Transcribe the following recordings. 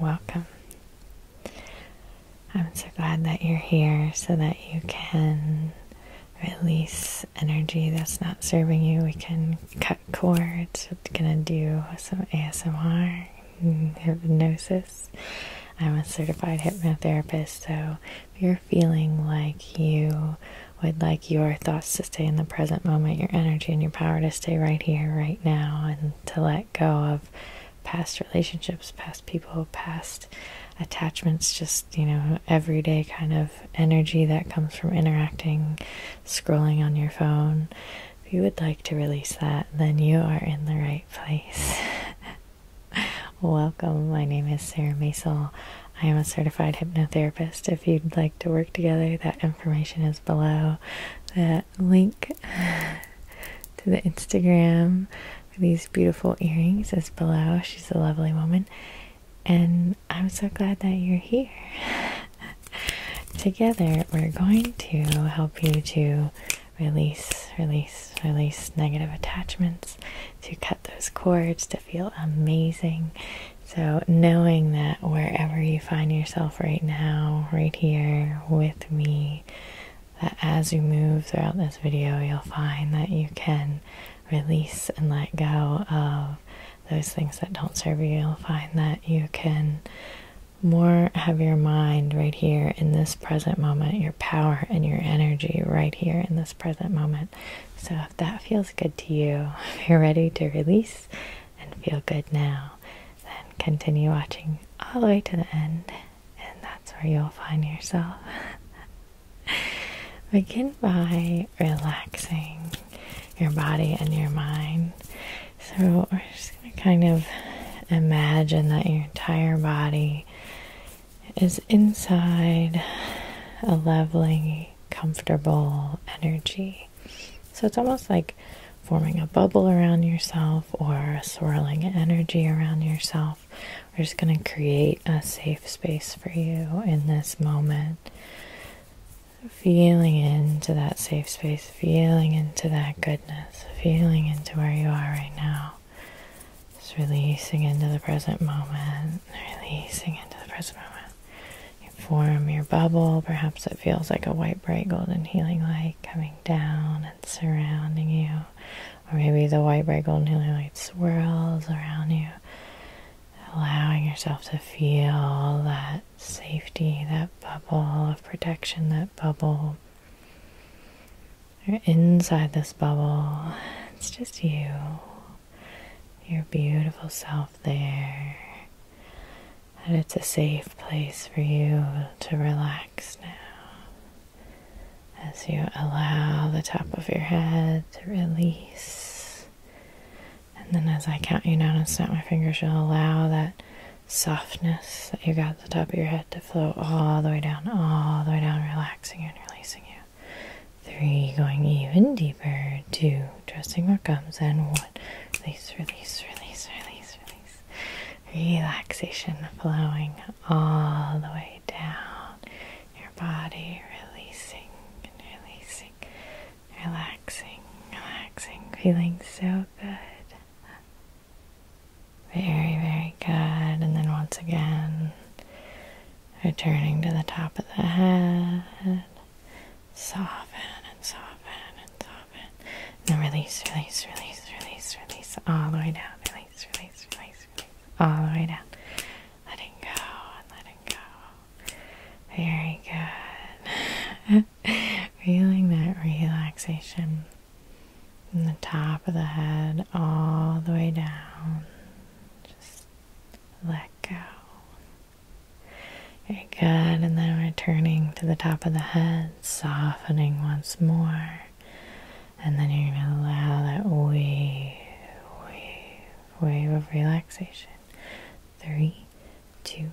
Welcome. I'm so glad that you're here so that you can release energy that's not serving you. We can cut cords. We're going to do some ASMR, hypnosis. I'm a certified hypnotherapist, so if you're feeling like you would like your thoughts to stay in the present moment, your energy and your power to stay right here, right now, and to let go of past relationships, past people, past attachments, just, you know, everyday kind of energy that comes from interacting, scrolling on your phone. If you would like to release that, then you are in the right place. Welcome. My name is Sarah Maisel. I am a certified hypnotherapist. If you'd like to work together, that information is below. The link to the Instagram for these beautiful earrings is below. She's a lovely woman, and I'm so glad that you're here. Together, we're going to help you to release, release, release negative attachments, to cut those cords, to feel amazing. So, knowing that wherever you find right now, right here with me, that as you move throughout this video, you'll find that you can release and let go of those things that don't serve you. You'll find that you can more have your mind right here in this present moment, your power and your energy right here in this present moment. So, if that feels good to you, if you're ready to release and feel good now, then continue watching all the way to the end, and that's where you'll find yourself. Begin by relaxing your body and your mind. So, we're just going to kind of imagine that your entire body is inside a lovely, comfortable energy. So, it's almost like forming a bubble around yourself or a swirling energy around yourself. We're just going to create a safe space for you in this moment. Feeling into that safe space, feeling into that goodness, feeling into where you are right now. Just releasing into the present moment, releasing into the present moment form your bubble. Perhaps it feels like a white, bright, golden healing light coming down and surrounding you. Or maybe the white, bright, golden healing light swirls around you, allowing yourself to feel that safety, that bubble of protection, that bubble. You're inside this bubble. It's just you, your beautiful self there that it's a safe place for you to relax now as you allow the top of your head to release. And then as I count you down and snap my fingers, will allow that softness that you got the top of your head to flow all the way down, all the way down, relaxing and releasing you. Three, going even deeper. Two, Dressing what gums and what release, release, release, release, release. Relaxation flowing all the way down your body, releasing and releasing, relaxing, relaxing, feeling so good. Very, very good. And then once again, returning to the top of the head soften and soften and soften. And release, release, release, release, release, all the way down. Release, release, release, release, all the way down. Letting go and letting go. Very good. Feeling that relaxation from the top of the head all the way down. Just let go. Very good, and then returning to the top of the head, softening once more. And then you're going to allow that wave, wave, wave of relaxation. Three, two,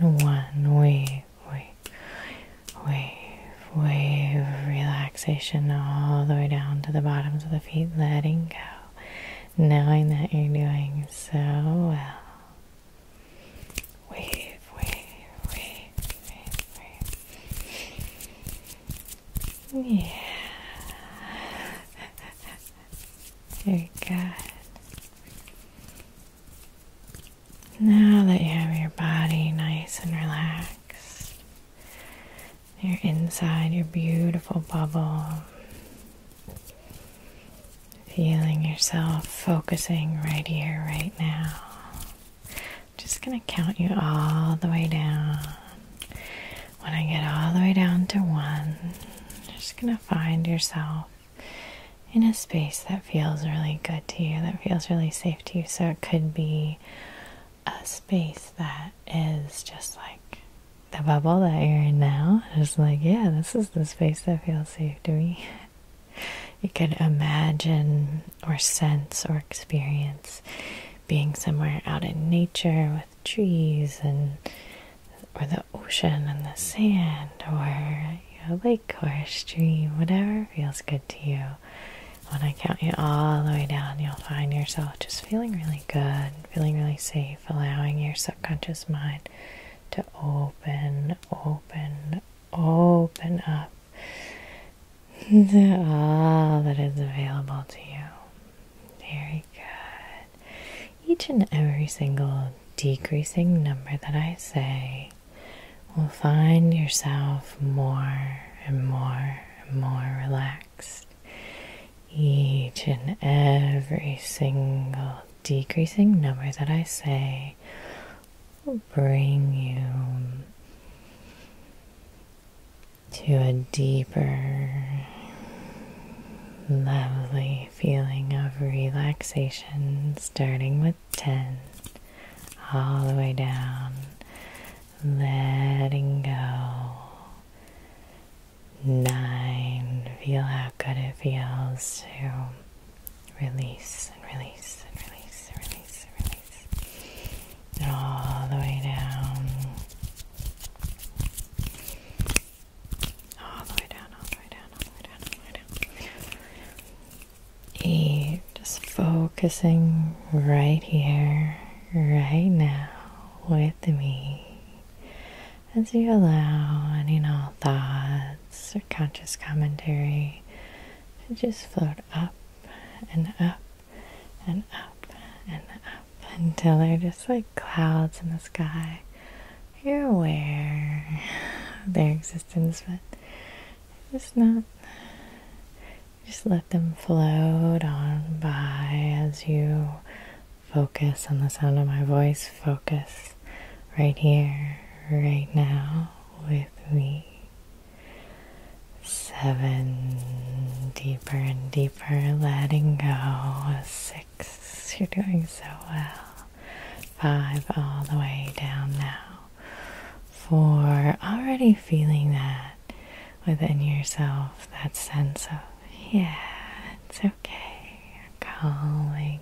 and one. Wave, wave, wave, wave of relaxation all the way down to the bottoms of the feet, letting go, knowing that you're doing so well. Wave, wave, wave, wave, wave. Yeah. Very good. Now that you have your body nice and relaxed, you're inside your beautiful bubble. Feeling yourself focusing right here, right now. Just gonna count you all the way down. When I get all the way down to one, you're just gonna find yourself in a space that feels really good to you, that feels really safe to you. So it could be a space that is just like the bubble that you're in now. Just like, yeah, this is the space that feels savory. you could imagine or sense or experience being somewhere out in nature with trees and or the ocean and the sand or a lake or a stream, whatever feels good to you. When I count you all the way down, you'll find yourself just feeling really good, feeling really safe, allowing your subconscious mind to open, open, open up to all that is available to you. Very good. Each and every single decreasing number that I say will find yourself more and more and more relaxed. Each and every single decreasing number that I say bring you to a deeper, lovely feeling of relaxation, starting with 10, all the way down, letting go, Nine. Feel how good it feels to release and release and release and release and release. And all the way down. All the way down, all the way down, all the way down, all the way down. Eight. Just focusing right here, right now with me as you allow any and all thoughts or conscious commentary to just float up and up and up and up until they're just like clouds in the sky. You're aware of their existence, but just not. Just let them float on by as you Focus on the sound of my voice. Focus right here, right now with me. Seven, deeper and deeper, letting go. Six, you're doing so well. Five, all the way down now. Four, already feeling that within yourself, that sense of, yeah, it's okay. Calling,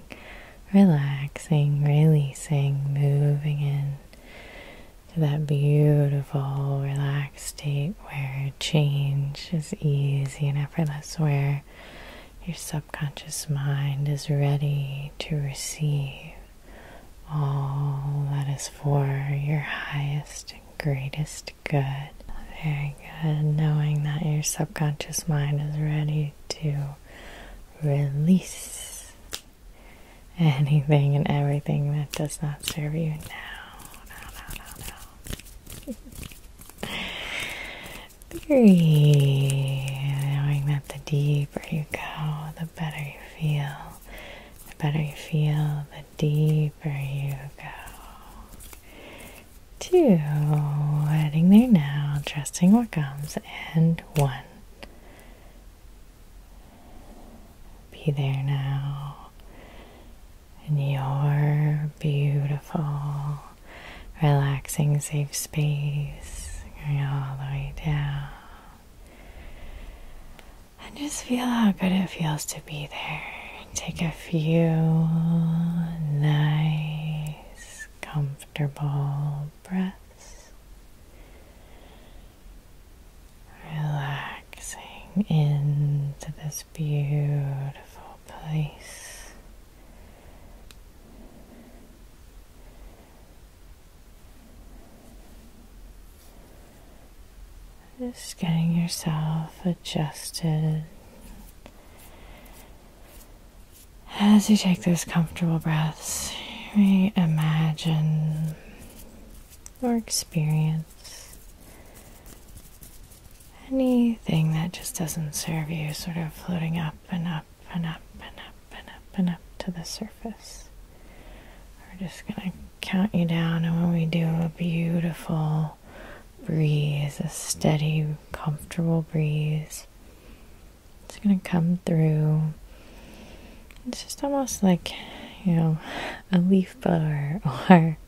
relaxing, releasing, moving into that beautiful, relaxed state where change is easy and effortless, where your subconscious mind is ready to receive all that is for your highest and greatest Good. Very good. Knowing that your subconscious mind is ready to release anything and everything that does not serve you now. No, no, no, no. Three. Knowing that the deeper you go, the better you feel. The better you feel, the deeper you go two, heading there now, trusting what comes, and one. Be there now, and you're beautiful, relaxing, safe space, going all the way down. And just feel how good it feels to be there Take a few nice, comfortable breaths, relaxing into this beautiful place. Just getting yourself adjusted as you take those comfortable breaths, imagine or experience anything that just doesn't serve you, sort of floating up and up and up and up and up and up to the surface. We're just going to count you down, and when we do a beautiful breeze, a steady, comfortable breeze. It's going to come through. It's just almost like, you know, a leaf blower or,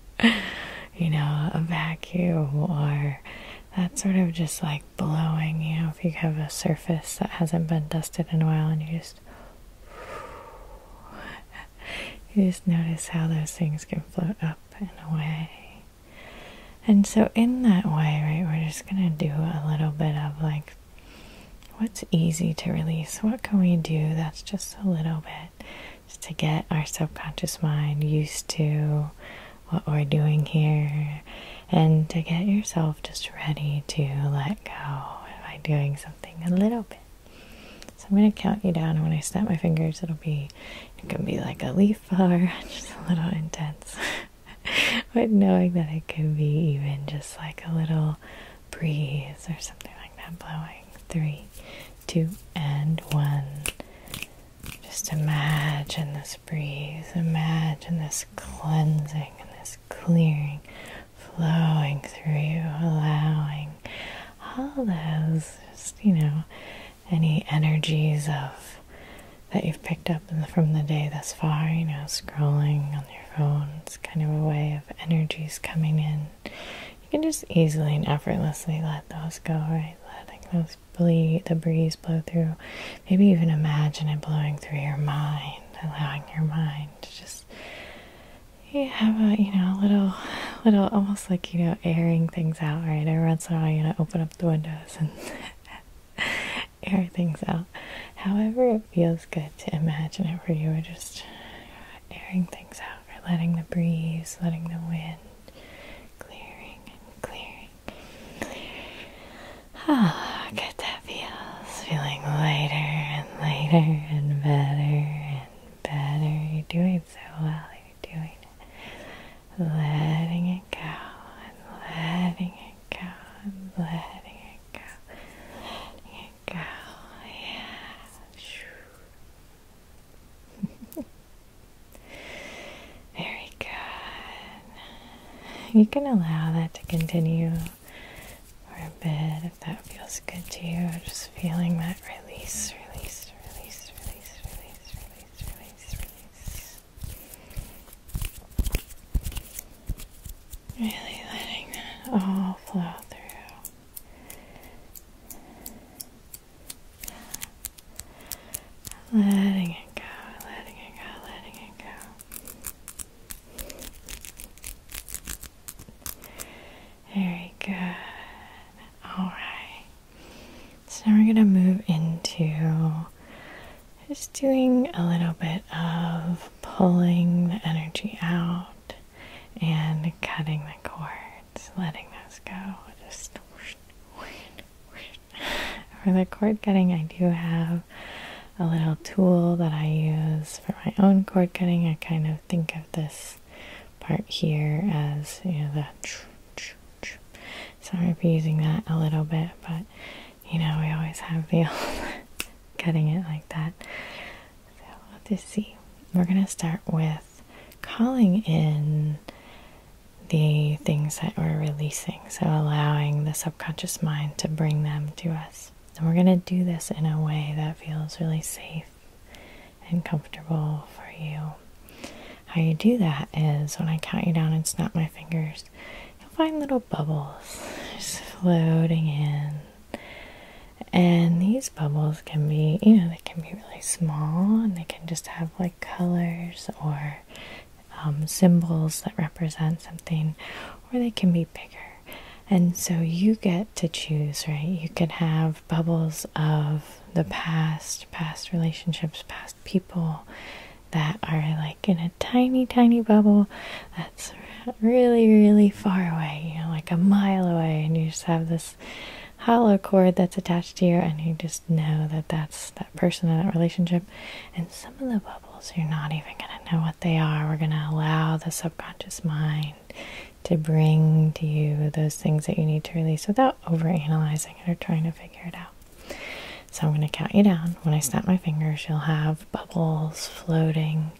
you know, a vacuum or that sort of just like blowing, you know, if you have a surface that hasn't been dusted in a while and you just you just notice how those things can float up and away. And so, in that way, right, we're just going to do a little bit of like what's easy to release? What can we do that's just a little bit just to get our subconscious mind used to what we're doing here and to get yourself just ready to let go by doing something a little bit so I'm going to count you down, and when I snap my fingers, it'll be it can be like a leaf far, just a little intense. but knowing that it could be even just like a little breeze or something like that blowing. Three, two, and one. Just imagine this breeze, imagine this cleansing and this clearing flowing through you, allowing all those, just, you know, any energies of that you've picked up from the day thus far, you know, scrolling on your phone. It's kind of a way of energies coming in. You can just easily and effortlessly let those go, right? Letting those bleed, the breeze blow through. Maybe even imagine it blowing through your mind, allowing your mind to just you have a you know little little almost like you know airing things out right every once in a while you know open up the windows and air things out however it feels good to imagine it where you are just airing things out or letting the breeze letting the wind clearing and clearing Ah, oh, good that feels. Feeling lighter and lighter and better and better. You're doing so well you Letting it go letting it go letting it go. Letting it go. Yeah. Very good. You can allow that to continue for a bit if that feels good to you, just feeling that release, release, release, release, release, release, release, release. Really letting that all flow through. Letting it go, letting it go, letting it go. Very good. All right. So now we're going to move into just doing a little bit of pulling the energy out and cutting the cords, letting those go. Just for the cord cutting, I do have a little tool that I use for my own cord cutting. I kind of think of this part here as you know the so I'm using that a little bit, but you know we always have the cutting it like that. So let's see. We're going to start with calling in the things that we're releasing, so allowing the subconscious mind to bring them to us. And we're going to do this in a way that feels really safe and comfortable for you. How you do that is when I count you down and snap my fingers, you'll find little bubbles just floating in. And these bubbles can be, you know, they can be really small and they can just have like colors or um, symbols that represent something, or they can be bigger. And so you get to choose, right? You could have bubbles of the past, past relationships, past people that are like in a tiny, tiny bubble that's really, really far away, you know, like a mile away, and you just have this hollow cord that's attached to you, and you just know that that's that person in that relationship. And some of the bubbles, you're not even going to know what they are. We're going to allow the subconscious mind to bring to you those things that you need to release without overanalyzing it or trying to figure it out. So I'm going to count you down. When I snap my fingers, you'll have bubbles floating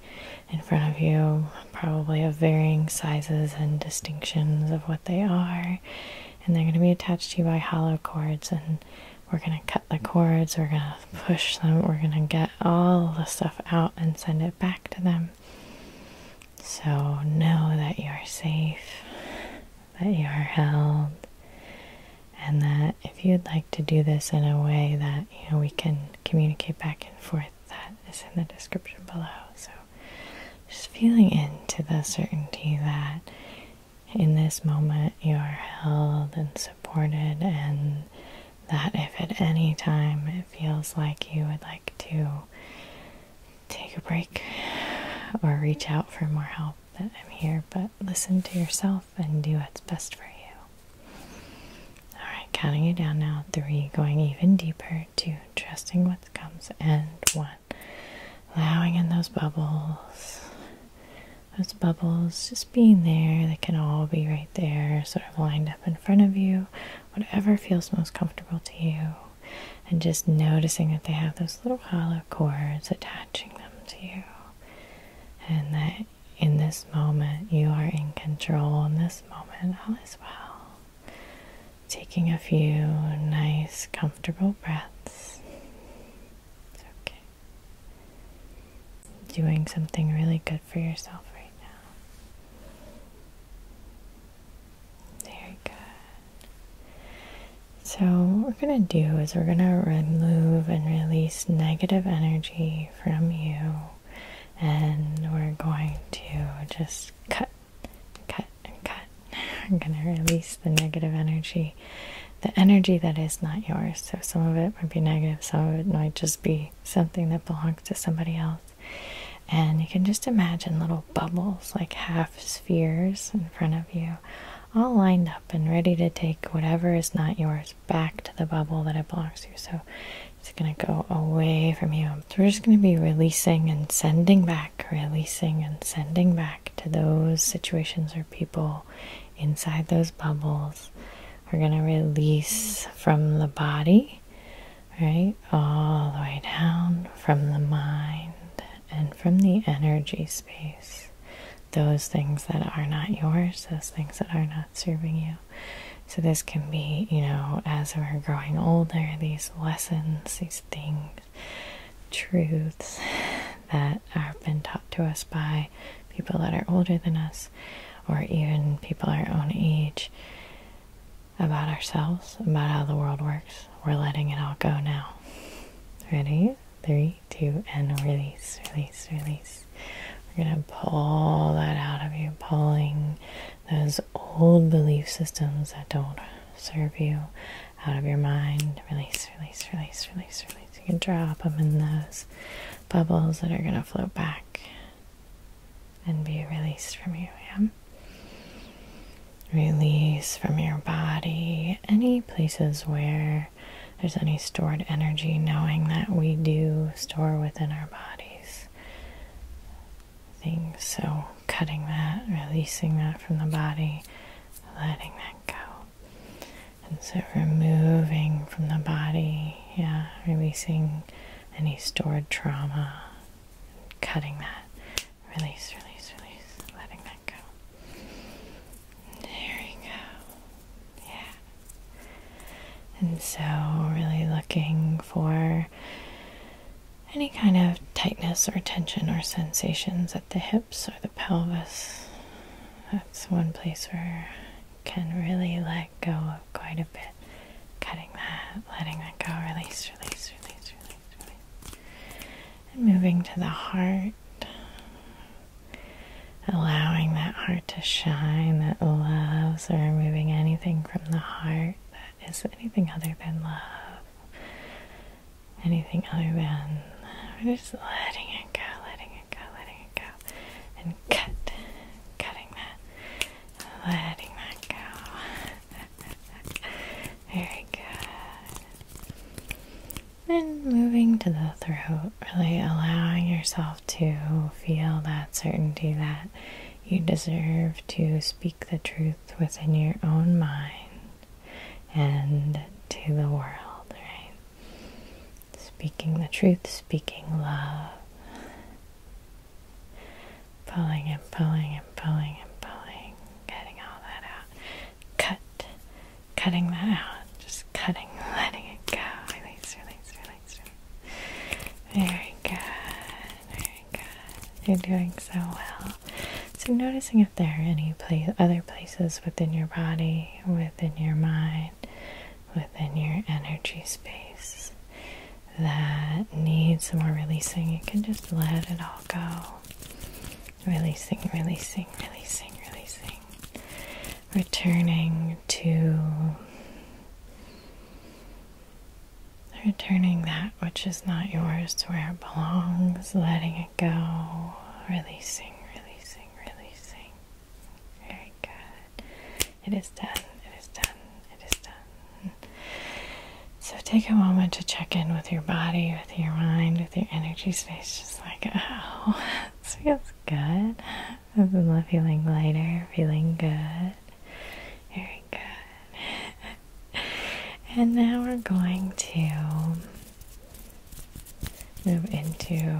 in front of you, probably of varying sizes and distinctions of what they are. And they're going to be attached to you by hollow cords. And we're going to cut the cords, we're going to push them, we're going to get all the stuff out and send it back to them. So know that you are safe, that you are held, and that if you'd like to do this in a way that you know we can communicate back and forth, that is in the description below. So just feeling into the certainty that in this moment you are held and supported and that if at any time it feels like you would like to take a break or reach out for more help, that I'm here. But listen to yourself and do what's best for you. Alright, counting you down now. Three, going even deeper. Two, trusting what comes. And one, allowing in those bubbles. Those bubbles just being there, they can all be right there, sort of lined up in front of you, whatever feels most comfortable to you, and just noticing that they have those little hollow cords attaching them to you, and that in this moment you are in control, in this moment, all is well. Taking a few nice, comfortable breaths. It's okay. Doing something really good for yourself right now. Very good. So, what we're going to do is we're going to remove and release negative energy from you, and we're going to just cut, cut, and cut. I'm going to release the negative energy, the energy that is not yours. So, some of it might be negative, some of it might just be something that belongs to somebody else. And you can just imagine little bubbles, like half spheres in front of you, all lined up and ready to take whatever is not yours back to the bubble that it belongs to. So it's going to go away from you. So we're just going to be releasing and sending back, releasing and sending back to those situations or people inside those bubbles. We're going to release from the body right? All the way down from the mind and from the energy space. Those things that are not yours, those things that are not serving you. So, this can be, you know, as we're growing older, these lessons, these things, truths that have been taught to us by people that are older than us, or even people our own age, about ourselves, about how the world works. We're letting it all go now. Ready? Three, two, and release, release, release. We're going to pull that out of you, pulling those old belief systems that don't serve you out of your mind. Release, release, release, release, release. You can drop them in those bubbles that are going to float back and be released from you. Yeah? Release from your body any places where there's any stored energy, knowing that we do store within our bodies things. So, cutting that, releasing that from the body, letting that go. And so, removing from the body, yeah, releasing any stored trauma, cutting that. Release, release, release, letting that go. There you go. Yeah. And so, really looking for any kind of tightness or tension or sensations at the hips or the pelvis. That's one place where can really let go of quite a bit. Cutting that, letting that go, release, release, release, release, release. And moving to the heart. Allowing that heart to shine, that loves, or removing anything from the heart that is anything other than love, anything other than. we just letting it go, letting it go, letting it go, and cut, cutting that, letting that go. Very good. Then moving to the throat, really allowing yourself to feel that certainty that you deserve to speak the truth within your own mind and to the world, right? Speaking the truth, speaking love. Pulling and pulling and pulling and pulling, getting all that out. Cut, cutting that out, just cutting, letting it go. Release, release, release, release. Very good, very good. You're doing so well. So, noticing if there are any other places within your body, within your mind, within your energy space that needs some more releasing, you can just let it all go. Releasing, releasing, releasing, releasing. Returning to. Returning that which is not yours to where it belongs, letting it go, releasing, releasing, releasing. Very good. It is done. It is done. It is done. So take a moment to check in with your body, with your mind, with your energy space. Just like, oh, this feels good. i This is feeling lighter, feeling good. Very good. And now we're going to move into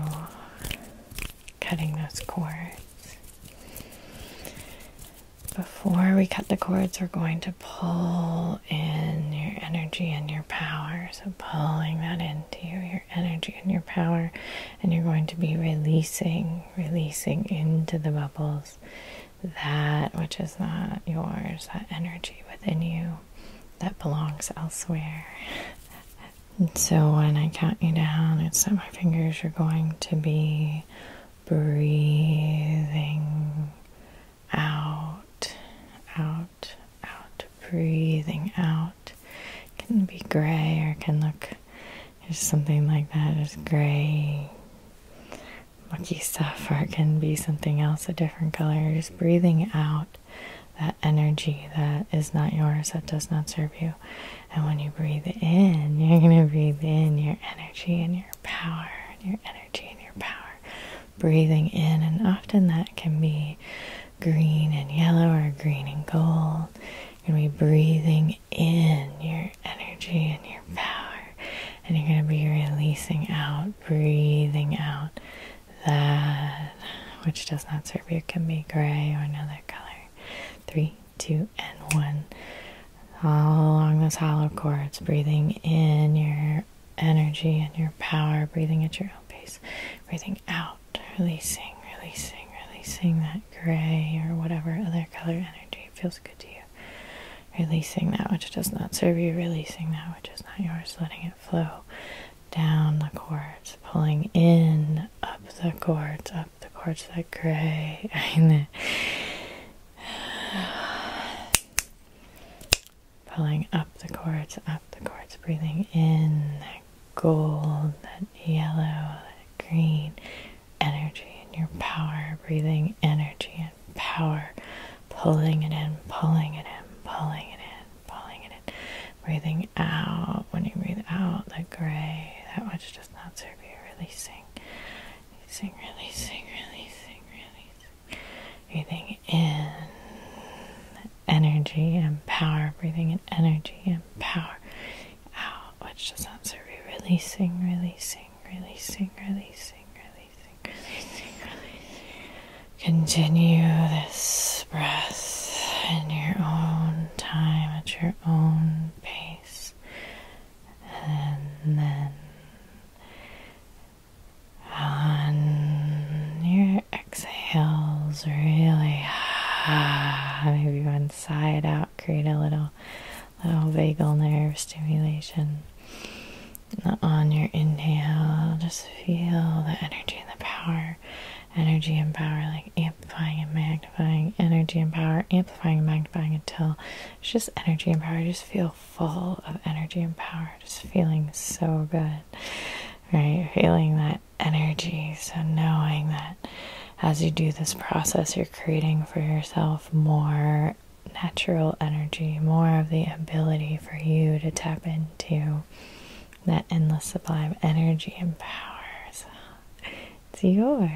cutting those cords. Before we cut the cords, we're going to pull in your energy and your power. So, pulling that into you, your energy and your power, and you're going to be releasing, releasing into the bubbles that which is not yours, that energy within you that belongs elsewhere. And so when I count you down, it's at my fingers, you're going to be breathing out, out, out, breathing out. It can be gray or it can look just something like that, just gray, mucky stuff, or it can be something else, a different color. you just breathing out that energy that is not yours, that does not serve you. And when you breathe in, you're going to breathe in your energy and your power, and your energy and your power. Breathing in, and often that can be green and yellow or green and gold. You're going to be breathing in your energy and your power, and you're going to be releasing out, breathing out that which does not serve you, can be gray or another color three, two, and one. All along those hollow chords, breathing in your energy and your power, breathing at your own pace, breathing out, releasing, releasing, releasing that gray or whatever other color energy feels good to you. Releasing that which does not serve you, releasing that which is not yours, letting it flow, down the cords, pulling in, up the cords, up the cords, that gray. pulling up the cords, up the cords, breathing in that gold, that yellow, that green energy and your power, breathing energy and power, pulling it in, pulling it in, pulling it in, pulling it in, breathing out. When you breathe out, the gray, that which does not serve you. Releasing, releasing, releasing, releasing, releasing. Breathing in energy and power. Breathing in energy and power. Out, which does not serve you. Releasing, releasing, releasing, releasing, releasing, releasing, releasing. Continue this breath in your own time, at your own pace, and then on your exhales, really maybe one side out, create a little little vagal nerve stimulation. On your inhale, just feel the energy and the power energy and power, like amplifying and magnifying, energy and power, amplifying and magnifying until it's just energy and power. just feel full of energy and power, just feeling so good, right? Feeling that energy. So, knowing that as you do this process, you're creating for yourself more natural energy, more of the ability for you to tap into that endless supply of energy and power. So it's yours.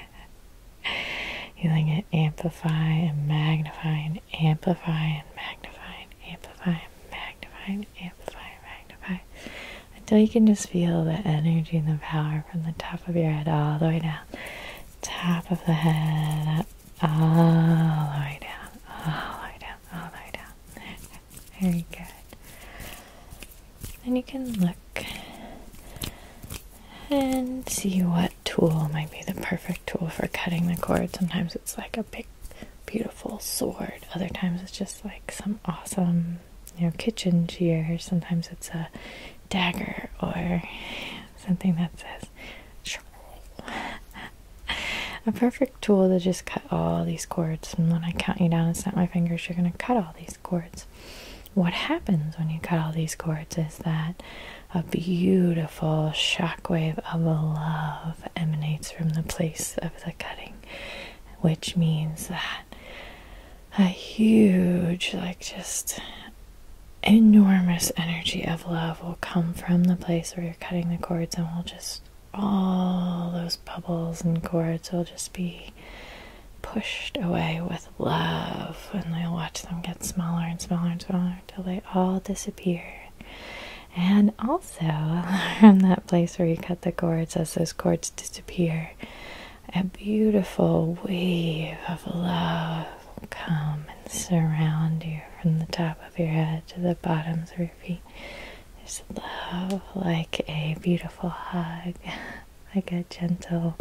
Healing it, amplify and magnify and amplify and magnify and amplify and magnify and amplify and magnify until you can just feel the energy and the power from the top of your head all the way down, top of the head, up, all the way down, all the way down, all the way down. Very good. Then you can look and see what tool might be the perfect tool for cutting the cord. Sometimes it's like a big, beautiful sword, other times it's just like some awesome, you know, kitchen gear. Sometimes it's a dagger or something that says a perfect tool to just cut all these cords. And when I count you down and snap my fingers, you're going to cut all these cords. What happens when you cut all these cords is that a beautiful shockwave of love emanates from the place of the cutting, which means that a huge, like just enormous energy of love will come from the place where you're cutting the cords and will just all those bubbles and cords will just be pushed away with love, and I'll watch them get smaller and smaller and smaller until they all disappear. And also, from that place where you cut the cords, as those cords disappear, a beautiful wave of love will come and surround you from the top your head to the bottoms of your feet. Just love like a beautiful hug, like a gentle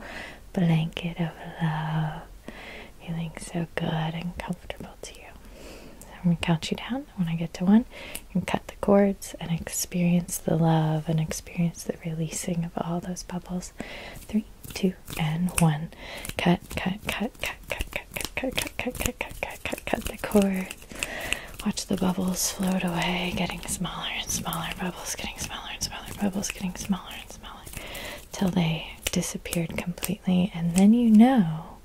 blanket of love, feeling so good and comfortable to you. I'm going to count you down. When I get to one, and cut the cords and experience the love and experience the releasing of all those bubbles. Three, two, and one. Cut, cut, cut, cut, cut, cut, cut, cut, cut, cut, cut, cut, cut, cut, cut the cord. Watch the bubbles float away, getting smaller and smaller, bubbles getting smaller and smaller, bubbles getting smaller and smaller, till they disappeared completely. And then you know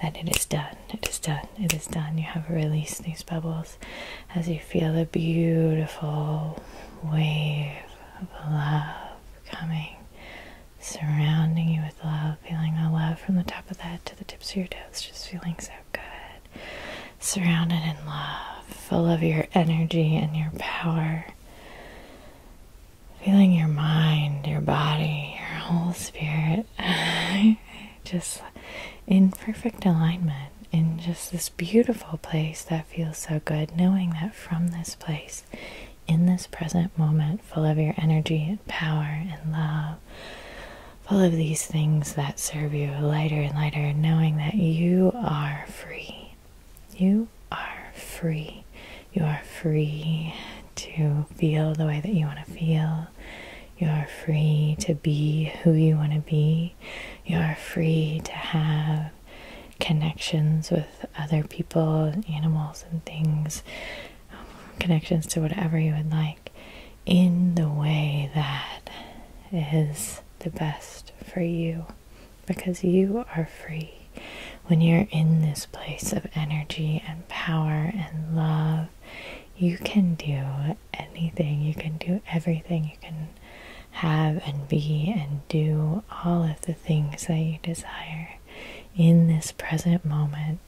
that it is done, it is done, it is done. You have released these bubbles as you feel the beautiful wave of love coming surrounding you with love, feeling the love from the top of the head to the tips of your toes, just feeling so good. Surrounded in love, full of your energy and your power. Feeling your mind, your body, your whole spirit just in perfect alignment, in just this beautiful place that feels so good, knowing that from this place, in this present moment, full of your energy and power and love, full of these things that serve you lighter and lighter, knowing that you are free. You are free. You are free to feel the way that you want to feel. You are free to be who you want to be. You are free to have connections with other people, and animals, and things connections to whatever you would like in the way that is the best for you because you are free when you're in this place of energy and power and love you can do anything you can do everything you can have and be and do all of the things that you desire in this present moment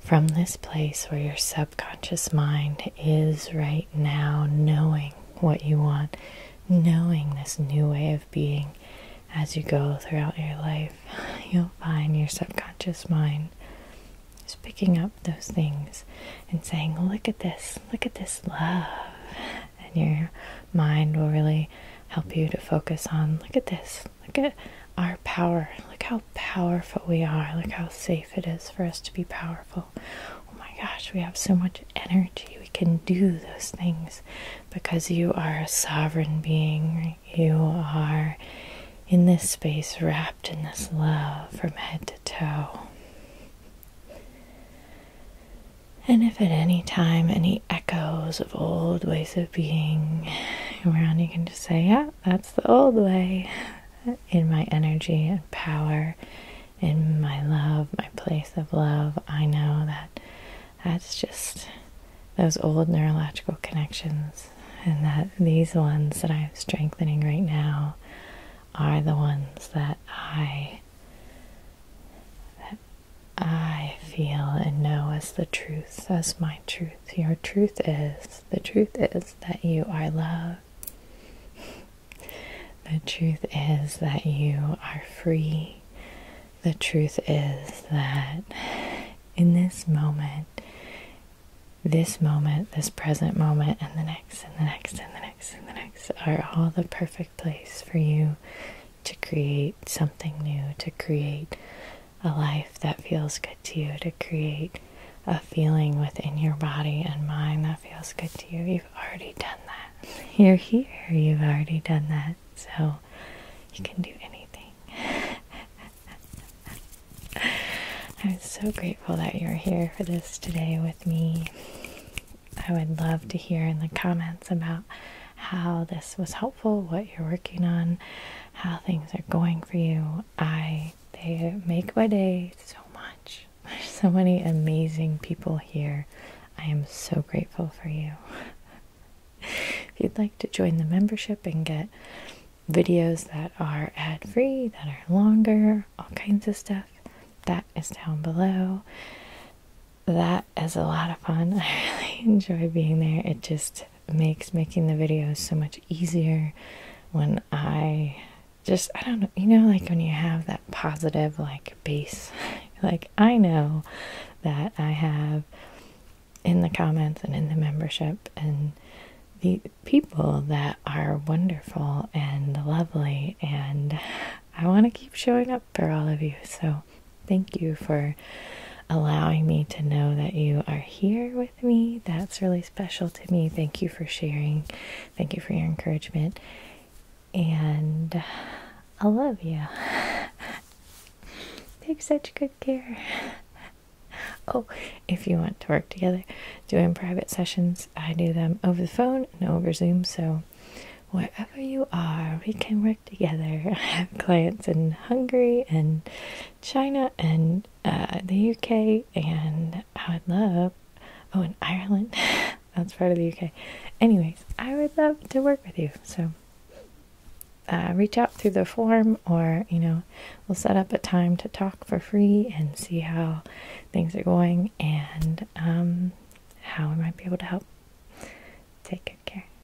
from this place where your subconscious mind is right now, knowing what you want, knowing this new way of being as you go throughout your life. You'll find your subconscious mind is picking up those things and saying, Look at this, look at this love. And your mind will really help you to focus on, Look at this, Look at our power. Look how powerful we are. Look how safe it is for us to be powerful. Oh my gosh, we have so much energy. We can do those things because you are a sovereign being. You are in this space, wrapped in this love from head to toe. And if at any time any echoes of old ways of being around, you can just say, Yeah, that's the old way in my energy and power, in my love, my place of love. I know that that's just those old neurological connections, and that these ones that I'm strengthening right now are the ones that I. That I feel and know as the truth, as my truth truth. Your truth is the truth is that you are love. the truth is that you are free. The truth is that in this moment, this moment, this present moment, and the next, and the next, and the next, and the next are all the perfect place for you to create something new, to create a life that feels good to you, to create a feeling within your body and mind that feels good to you. You've already done that. You're here, you've already done that. So you can do anything. I'm so grateful that you're here for this today with me. I would love to hear in the comments about how this was helpful what you're working on, how things are going for you. I they make my day so much. There's so many amazing people here. I am so grateful for you. if you'd like to join the membership and get videos that are ad free, that are longer, all kinds of stuff, that is down below. That is a lot of fun. I really enjoy being there. It just makes making the videos so much easier when I just I don't know, you know, like when you have that positive like base, like I know that I have in the comments and in the membership and the people that are wonderful and lovely and I want to keep showing up for all of you. So Thank you for allowing me to know that you are here with me. That's really special to me. Thank you for sharing. Thank you for your encouragement. And I love you. Take such good care. Oh, if you want to work together doing private sessions, I do them over the phone and over Zoom. So, wherever you are, we can work together. I have clients in Hungary and China and uh, the UK, and I would love, oh, in Ireland. That's part of the UK. Anyways, I would love to work with you. So uh, reach out through the form, or, you know, we'll set up a time to talk for free and see how things are going and um, how we might be able to help. Take good care.